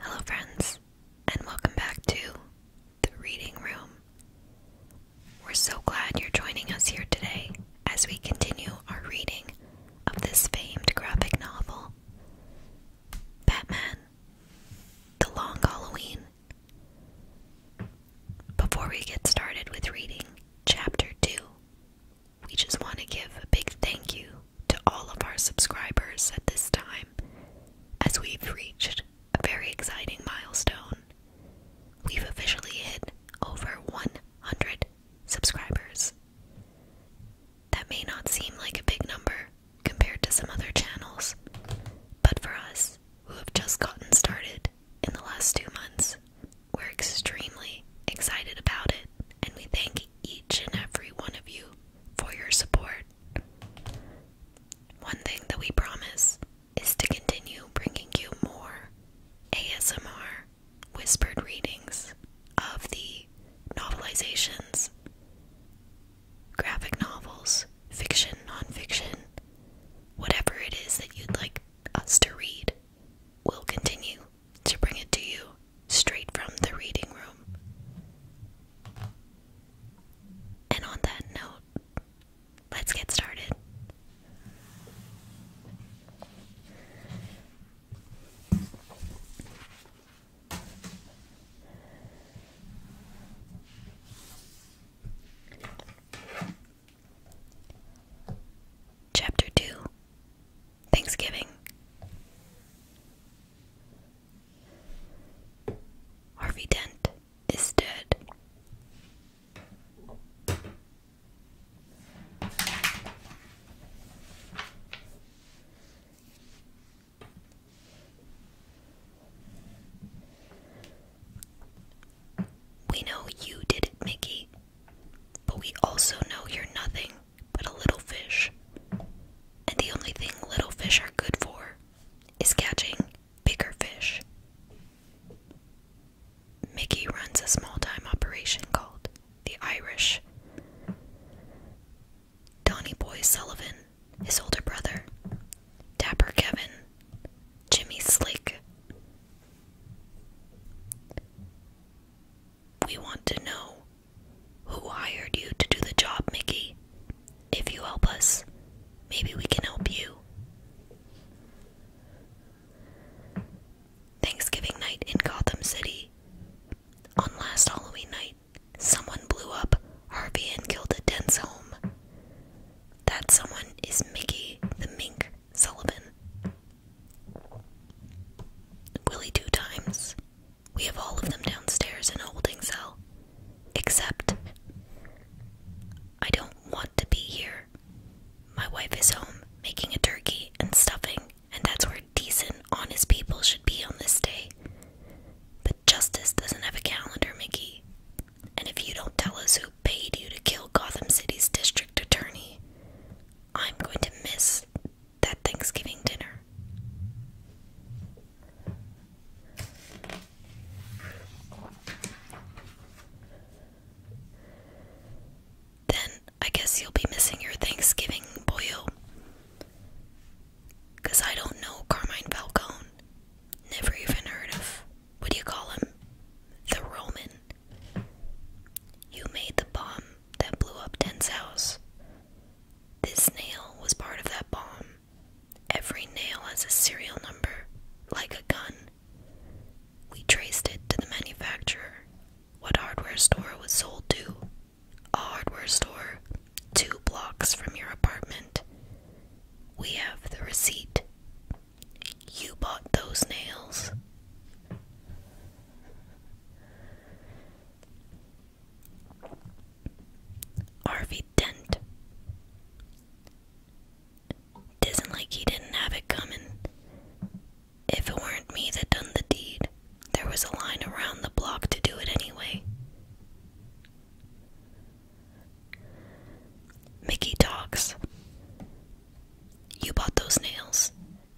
Hello, friends, and welcome back to the Reading Room. We're so glad you're joining us here today as we continue our reading of this famed graphic novel Batman The Long Halloween. Before we get started with reading Chapter 2, we just want to give a big thank you to all of our subscribers at this time, as we've reached a very exciting milestone. We've officially hit over 100 subscribers. That may not seem like a big number compared to some other channels, but for us who have just gotten started, in the last two months. We're extremely excited about it, and we thank each and every one of you for your support. One thing that we promise is to continue bringing you more ASMR whispered readings of the novelizations, graphic novels, fiction, nonfiction, whatever it is that you'd like us to read we will continue to bring it to you straight from the reading room. And on that note, let's get started. Chapter 2 Thanksgiving. Harvey Dent is dead. We know you did it, Mickey, but we also know you're nothing but a little fish. And the only thing little fish are good for is catching bigger fish. Mickey runs a small time operation called the Irish. Donny Boy Sullivan, his older brother, Dapper Kevin, Jimmy Slick, we want to know who hired you to do the job, Mickey. If you help us, maybe we can help you. Thanksgiving night in Gotham City. On last Halloween night, someone blew up Harvey and killed a home. That someone is Mickey the Mink Sullivan. Willie two times. We have all of them downstairs in a holding cell. Except, I don't want to be here. My wife is home making a turkey and stuffing, and that's where decent, honest people should be on this day. But justice doesn't have a calendar, Mickey. And if you don't tell us who paid you to kill Gotham City's district, attorney. I'm going to miss that Thanksgiving dinner. Then I guess you'll be missing your Thanksgiving, boyo. I don't know Carmine Falcone. Never even heard of. What do you call him? The Roman. You made the bomb that blew up Den's house. This nail was part of that bomb. Every nail has a serial number, like a gun. We traced it to the manufacturer. What hardware store was sold to? A hardware store two blocks from your apartment. We have the receipt. You bought those nails. Harvey Dent. Tisn't like he didn't have it coming. If it weren't me that done the deed, there was a line around the block to do it anyway. Mickey talks. You bought those nails.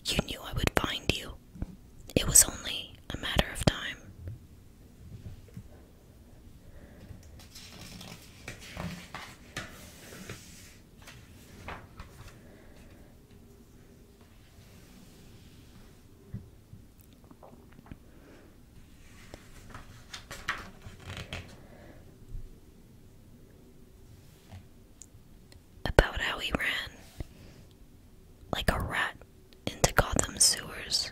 You knew I would find you. It was only a matter of time about how he ran like a rat into Gotham sewers.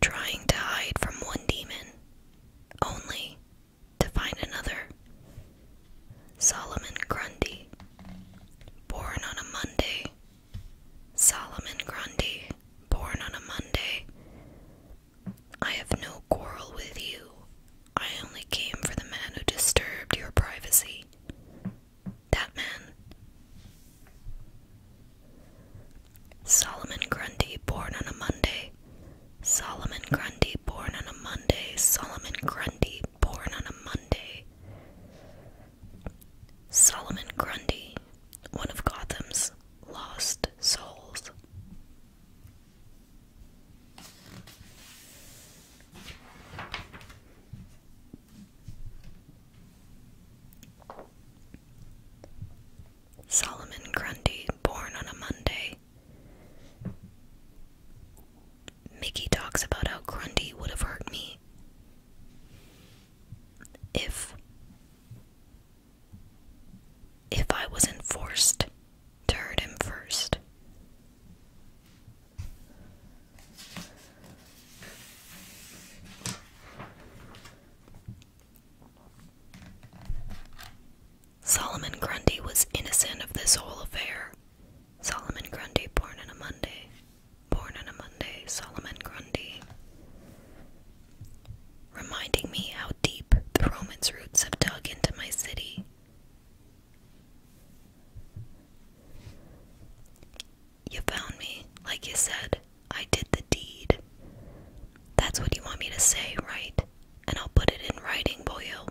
Trying to hide from one demon, only to find another Solomon Grundy. Born on a Monday. Solomon Grundy. Born on a Monday. I have no quarrel with you. I only came for the man who disturbed your privacy. That man. Solomon Grundy, born on a Monday. Solomon Grundy, born on a Monday. Solomon Grundy, born on a Monday. Solomon Grundy, one of Gotham's lost souls. Solomon Grundy, born on a Monday. Mickey talks about how Grundy would have hurt me if if I wasn't forced to hurt him first. Solomon Grundy was innocent of this whole affair, Solomon Grundy, born on a Monday. Born on a Monday, Solomon Grundy. Reminding me how deep the Romans' roots have dug into my city. You found me, like you said. I did the deed. That's what you want me to say, right? And I'll put it in writing, boyo.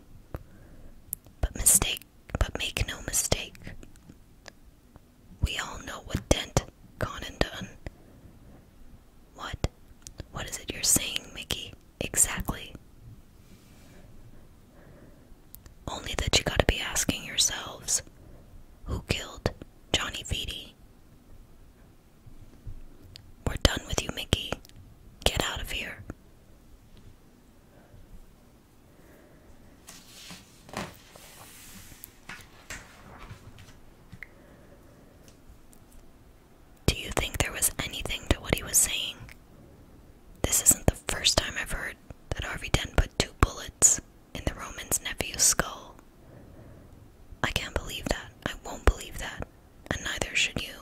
But mistake make but make no mistake. We all know what Dent gone and done. What? What is it you're saying, Mickey? Exactly. Only that you gotta be asking yourselves who killed Johnny Feedy? We're done with you, Mickey. Get out of here. Do you think there was anything to what he was saying? This isn't the first time I've heard that Harvey Dent put two bullets in the Roman's nephew's skull. I can't believe that. I won't believe that. And neither should you.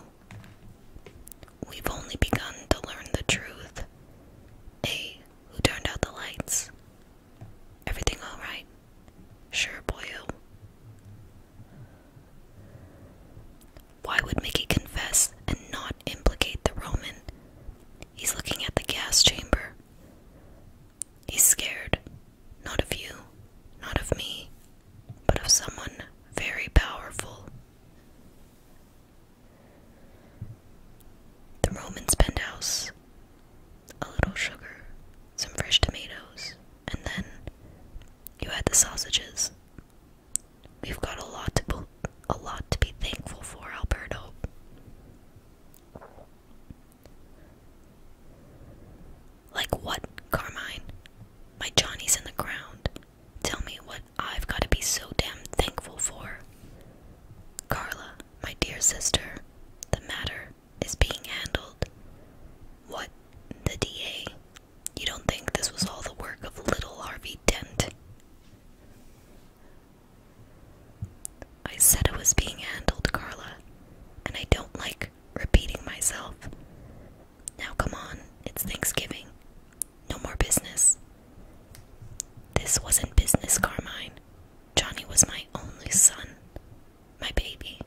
We've only begun to learn the truth. Hey, who turned out the lights? Everything alright? Sure, boyo. Why would Mickey confess and not implicate the Roman? He's looking at the gas chamber. He's scared, not of you, not of me, but of someone very powerful. The Roman Spendhouse, a little sugar, some fresh tomatoes, and then you had the sausages. We've got a lot to be, a lot to be thankful for, Alberto. Like what, Carmine? My Johnny's in the ground. Tell me what I've got to be so damn thankful for. Carla, my dear sister, the matter is being handled. What, the DA? You don't think this was all the work of little Harvey Dent? I said it was being handled, Carla, and I don't like repeating myself. Now, come on, it's Thanksgiving. No more business. This wasn't business, Carmine. Johnny was my only son, my baby.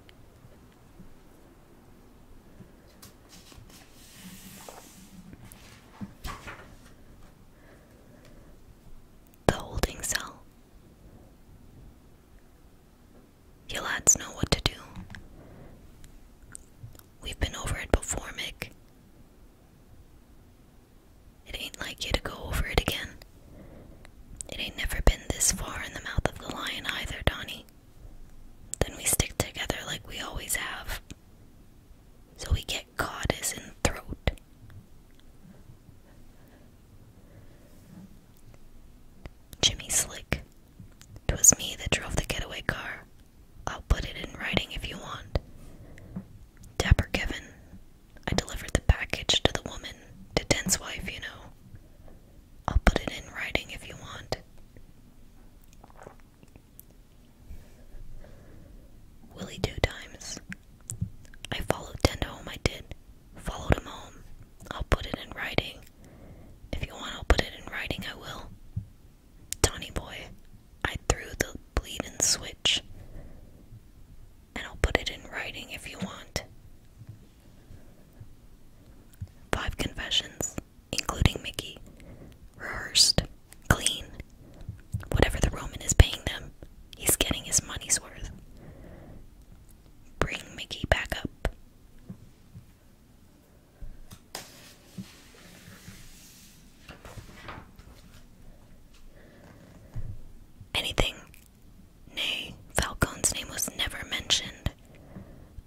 The holding cell. You lads know what to do. We've been over it before, Mick. It ain't like you to go over it again. It ain't never been this far in the mouth of the lion either, Donnie. Then we stick together like we always have. So we get caught as in throat. Jimmy Slick, Slick. 'Twas me that drove the getaway car. I'll put it in writing if you want. Dapper Kevin, I delivered the package to the woman, to Dent's wife, you know. I'll put it in writing if you want. Willie two times. I followed Dent home, I did. Followed him home. I'll put it in writing. If you want, I'll put it in writing, I will. Donny boy, I threw the bleeding switch. And I'll put it in writing if you want. Five confessions, including Mickey, rehearsed, clean. Whatever the Roman is paying them, he's getting his money's worth. Bring Mickey back up. Anything? Nay, Falcon's name was never mentioned.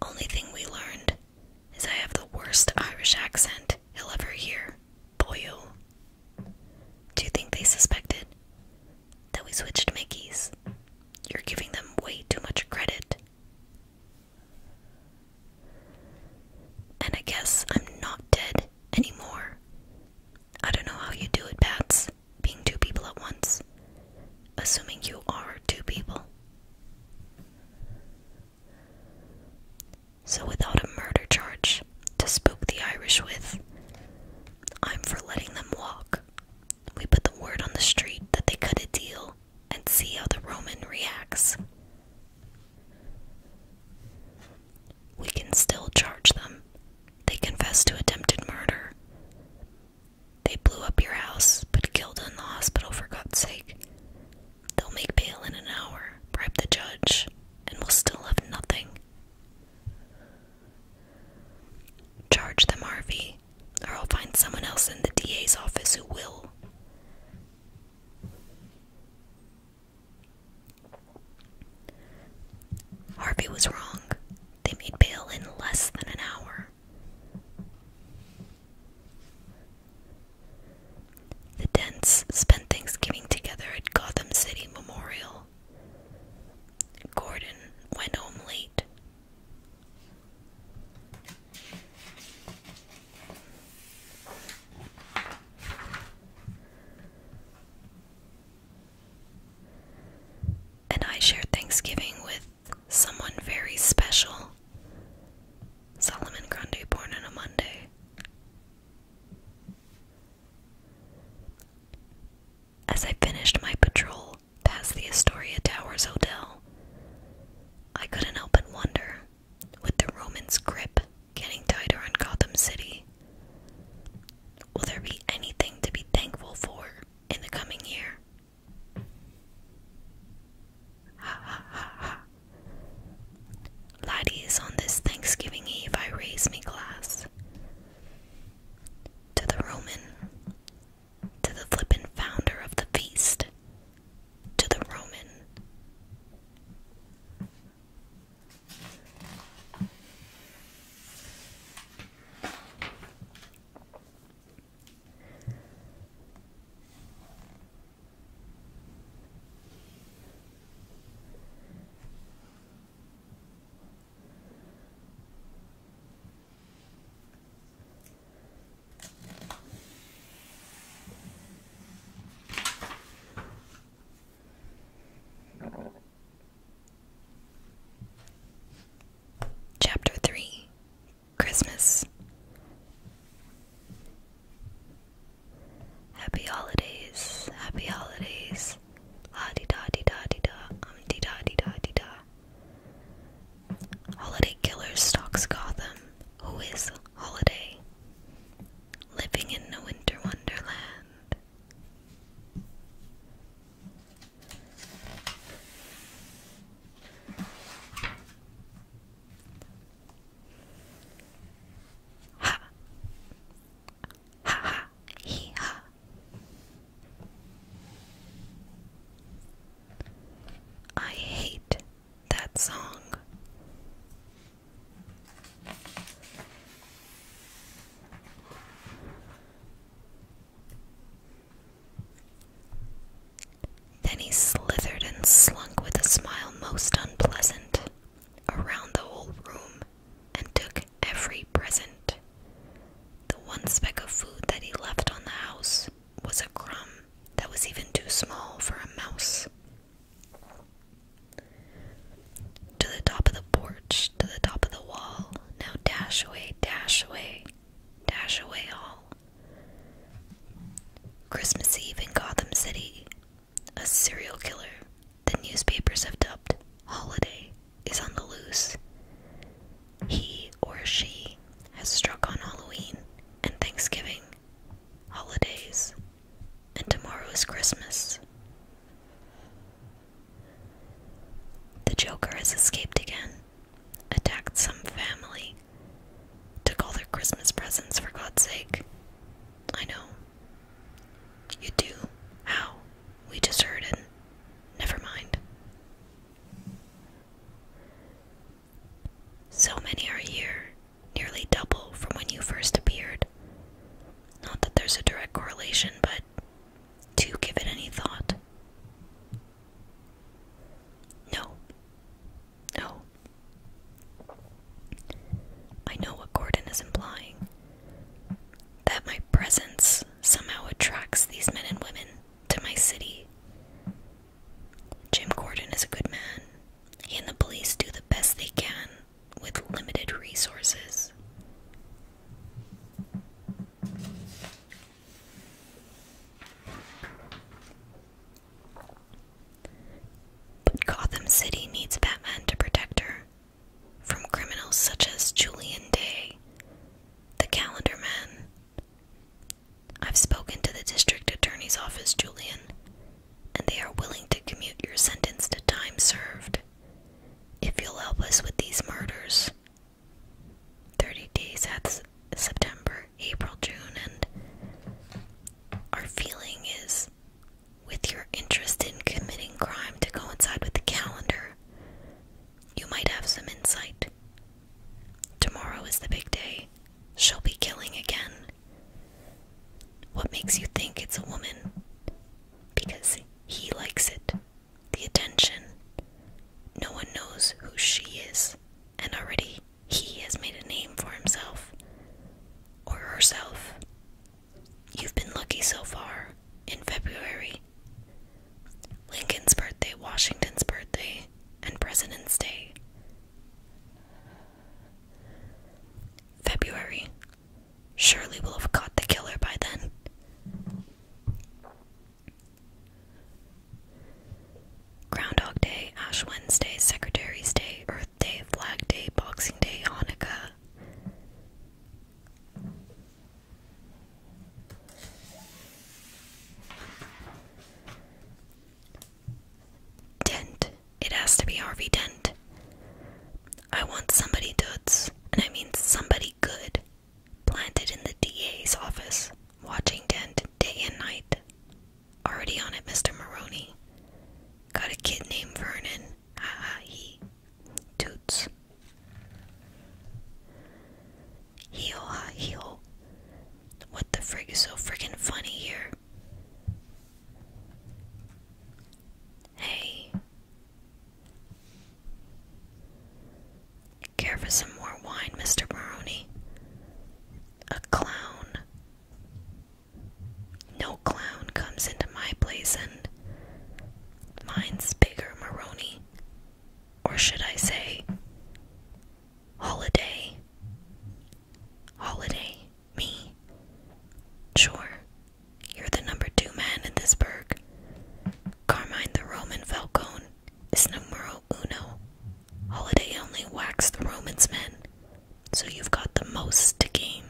Only thing we learned is I have the worst Irish accent he'll ever hear. Boyle. Do you think they suspected that we switched Mickeys? You're giving them way too much credit. And I guess I'm not dead anymore. I don't know how you do it, Bats, being two people at once. Assuming you are two people. So, without a murder charge to spook the Irish with, I'm for letting them walk. We put the word on the street that they cut a deal and see how the Roman reacts. We can still charge them. They confess to attempted murder. They blew up your house, but killed in the hospital for God's sake. They'll make bail in an hour, bribe the judge, and we'll still have nothing. Charge them, Harvey, or I'll find someone else in the DA's office who will. Harvey was wrong. They made bail in less than an hour. The Dents spent Thanksgiving together at Gotham City Memorial. Gordon went home late. And I shared Thanksgiving with someone very special. Solomon Grundy, born on a Monday. As I finished my patrol past the Astoria Towers Hotel, I couldn't help but wonder with the Romans' grip getting tighter on Gotham City, will there be anything to be thankful for in the coming year? Ha ha ha ha. Laddie is on this Thanksgiving Eve I raise me glass. To the Roman, to the flippin' founder of the feast, to the Roman. Chapter 3 Christmas Happy holidays, happy holidays. Ha di da di da di da, um di da di da di da. Holiday killer stalks Gotham. Who is Holiday? living in a winter wonderland. Ha! Ha ha! Hee ha! I hate that song. Then he slithered and slunk with a smile most unpleasant around the whole room and took every present. The one speck of food that he left on the house, was a crumb that was even too small for a mouse. To the top of the porch, to the top of the wall, now dash away, dash away, dash away all. Christmas Eve in Gotham City. A serial killer, the newspapers have dubbed Holiday, is on the loose. He or she has struck on Halloween and Thanksgiving holidays, and tomorrow is Christmas. The Joker has escaped again, attacked some family, took all their Christmas presents for God's sake. I know. You do? How? We just heard it. Never mind. So many are here, nearly double from when you first appeared. Not that there's a direct correlation, but do you give it any thought? No. No. I know what Gordon is implying. That my presence somehow attracts these men and women to my city. Jim Gordon is a good man. and the police do the best they can with limited resources. But Gotham City needs Batman to protect her from criminals such as Julian Day, the Calendar Man, I've spoken to the district attorney's office, Julian, and they are willing to commute your sentence to time served if you'll help us with these murders. Thirty days at September, April, June, and our feeling is with your interest in committing crime to coincide with the calendar, you might have some insight. Tomorrow is the big day. She'll be killing again. What makes you think it's a woman? Because he likes it. The attention. No one knows who she is, and already he has made a name for himself. Or herself. You've been lucky so far in February. Lincoln's birthday, Washington's birthday, and President's Day. February. Surely will have caught the killer by then. Groundhog Day, Ash Wednesday, Secretary's Day, Earth Day, Flag Day, Boxing Day, Hanukkah. Dent. It has to be Harvey Dent. I want somebody duds, and I mean somebody good, planted in the DA's office, watching Dent day and night. Already on it, Mr. Maroney. Got a kid named Vernon. Haha, he. Toots. Hee ha hee What the frig is so friggin' funny here? Hey. Care for some more wine, Mr. Maroney? A clown. No clown comes into my place and mine's bigger, Maroney. Or should I say, holiday? Holiday, me. Sure, you're the number two man in this burg. Carmine the Roman Falcon is numero uno. Holiday only whacks the Romans' men, so you've got the most to gain.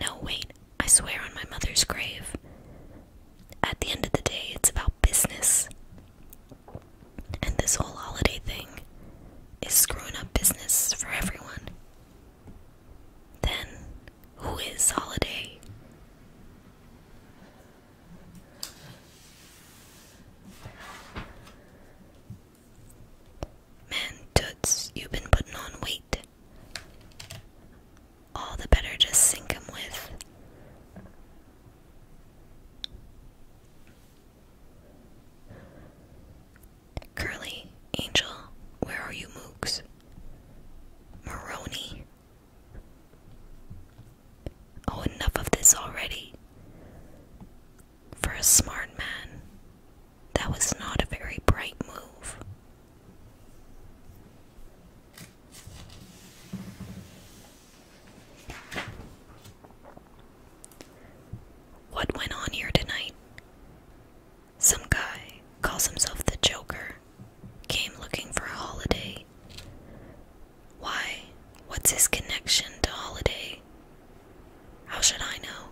No, wait, I swear on my mother's grave at the end of the day, it's about business. And this whole holiday thing is screwing up business for everyone. Then, who is holiday? Man, Toots, you've been putting on weight all the better just sink him with. Curly, Angel, where are you mooks? Maroney. Oh, enough of this already. For a smart man, that was not a very bright move. What went on here tonight? Some guy, calls himself the Joker, came looking for a holiday. Why? What's his connection to holiday? How should I know?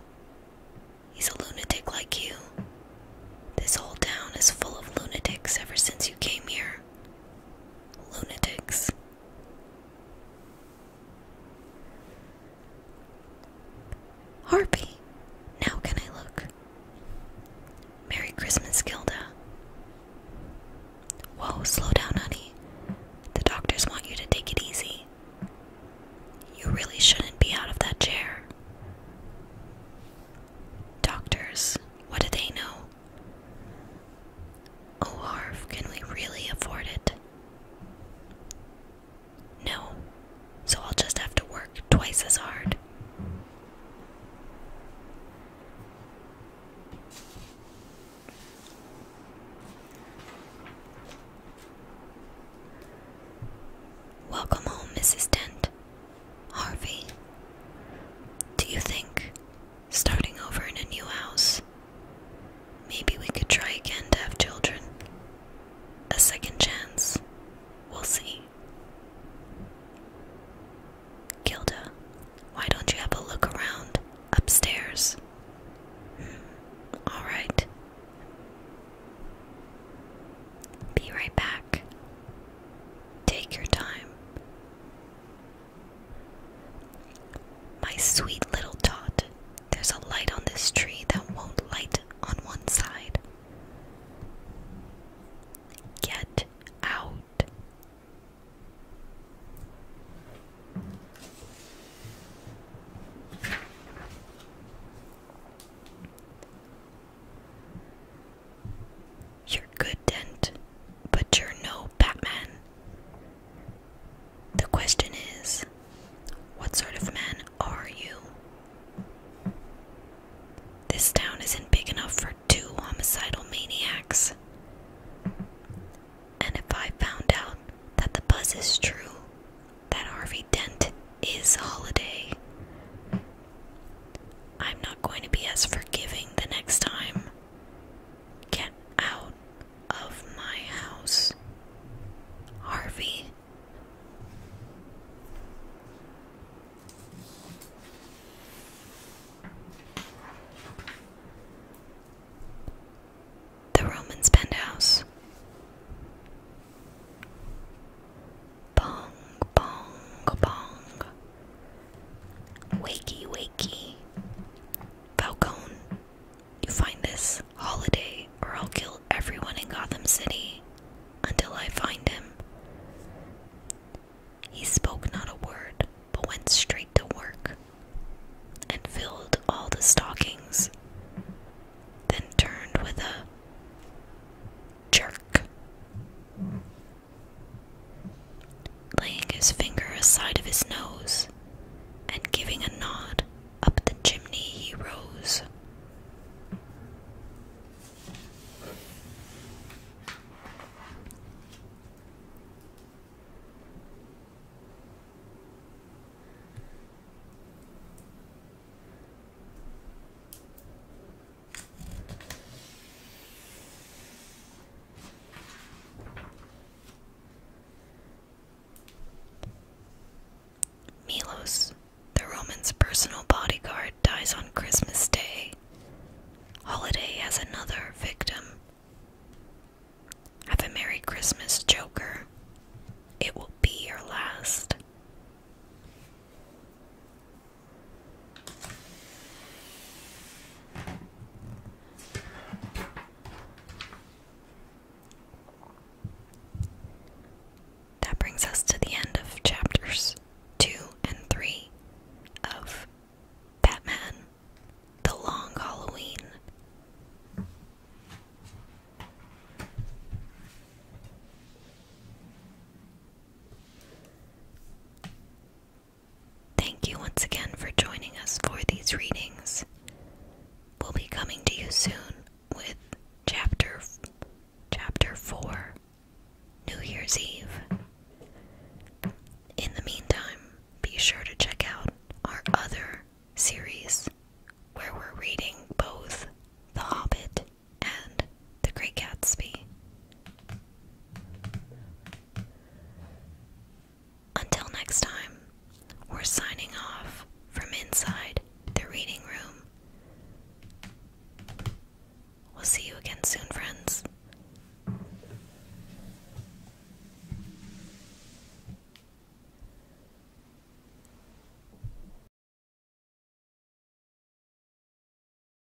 He's a lunatic like you. This whole town is full of lunatics ever since you came here lunatics. Harpy, now can I look? Merry Christmas, Gilda. Whoa, slow down, honey. The doctors want you to take it easy. You really shouldn't be out of that chair. Doctors, what do they know? Olarv, can we really afford it? No, so I'll just have to work twice as hard. Welcome home, Mrs. Dent. Harvey, do you think starting over in a new house, maybe we could try again to have children? A second chance. We'll see. Gilda, why don't you have a look around upstairs? Hmm, Alright. Be right back. Take your time. My sweet little tot, there's a light on this tree that won't light on one side. Get out. You're good, Dent, but you're no Batman. The question is, what sort of man are you? This town isn't big enough for two homicidal maniacs. And if I found out that the buzz is true, that Harvey Dent is Holiday, I'm not going to be as forgiving the next time. Get out of my house, Harvey. The Roman's penthouse. Bong, bong, bong. Wakey, wakey. Falcone, you find this holiday, or I'll kill everyone in Gotham City until I find him. He spoke not a word, but went straight to work and filled all the stockings, then turned with a jerk laying his finger aside of his nose, and giving a nod, up the chimney he rose. Milos, the Roman's personal bodyguard, dies on Christmas Day. Holiday has another victim. Have a Merry Christmas, Joker. It will be your last. That brings us to the end of chapters 2 and 3 of Batman The Long Halloween. Thank you once again for joining us for these readings. We'll be coming to you soon with chapter chapter 4 New Year's Eve. In the meantime, be sure to check out our other series where we're reading both The Hobbit and The Great Gatsby. Until next time, we're signing off from inside the reading room. We'll see you again soon, friends.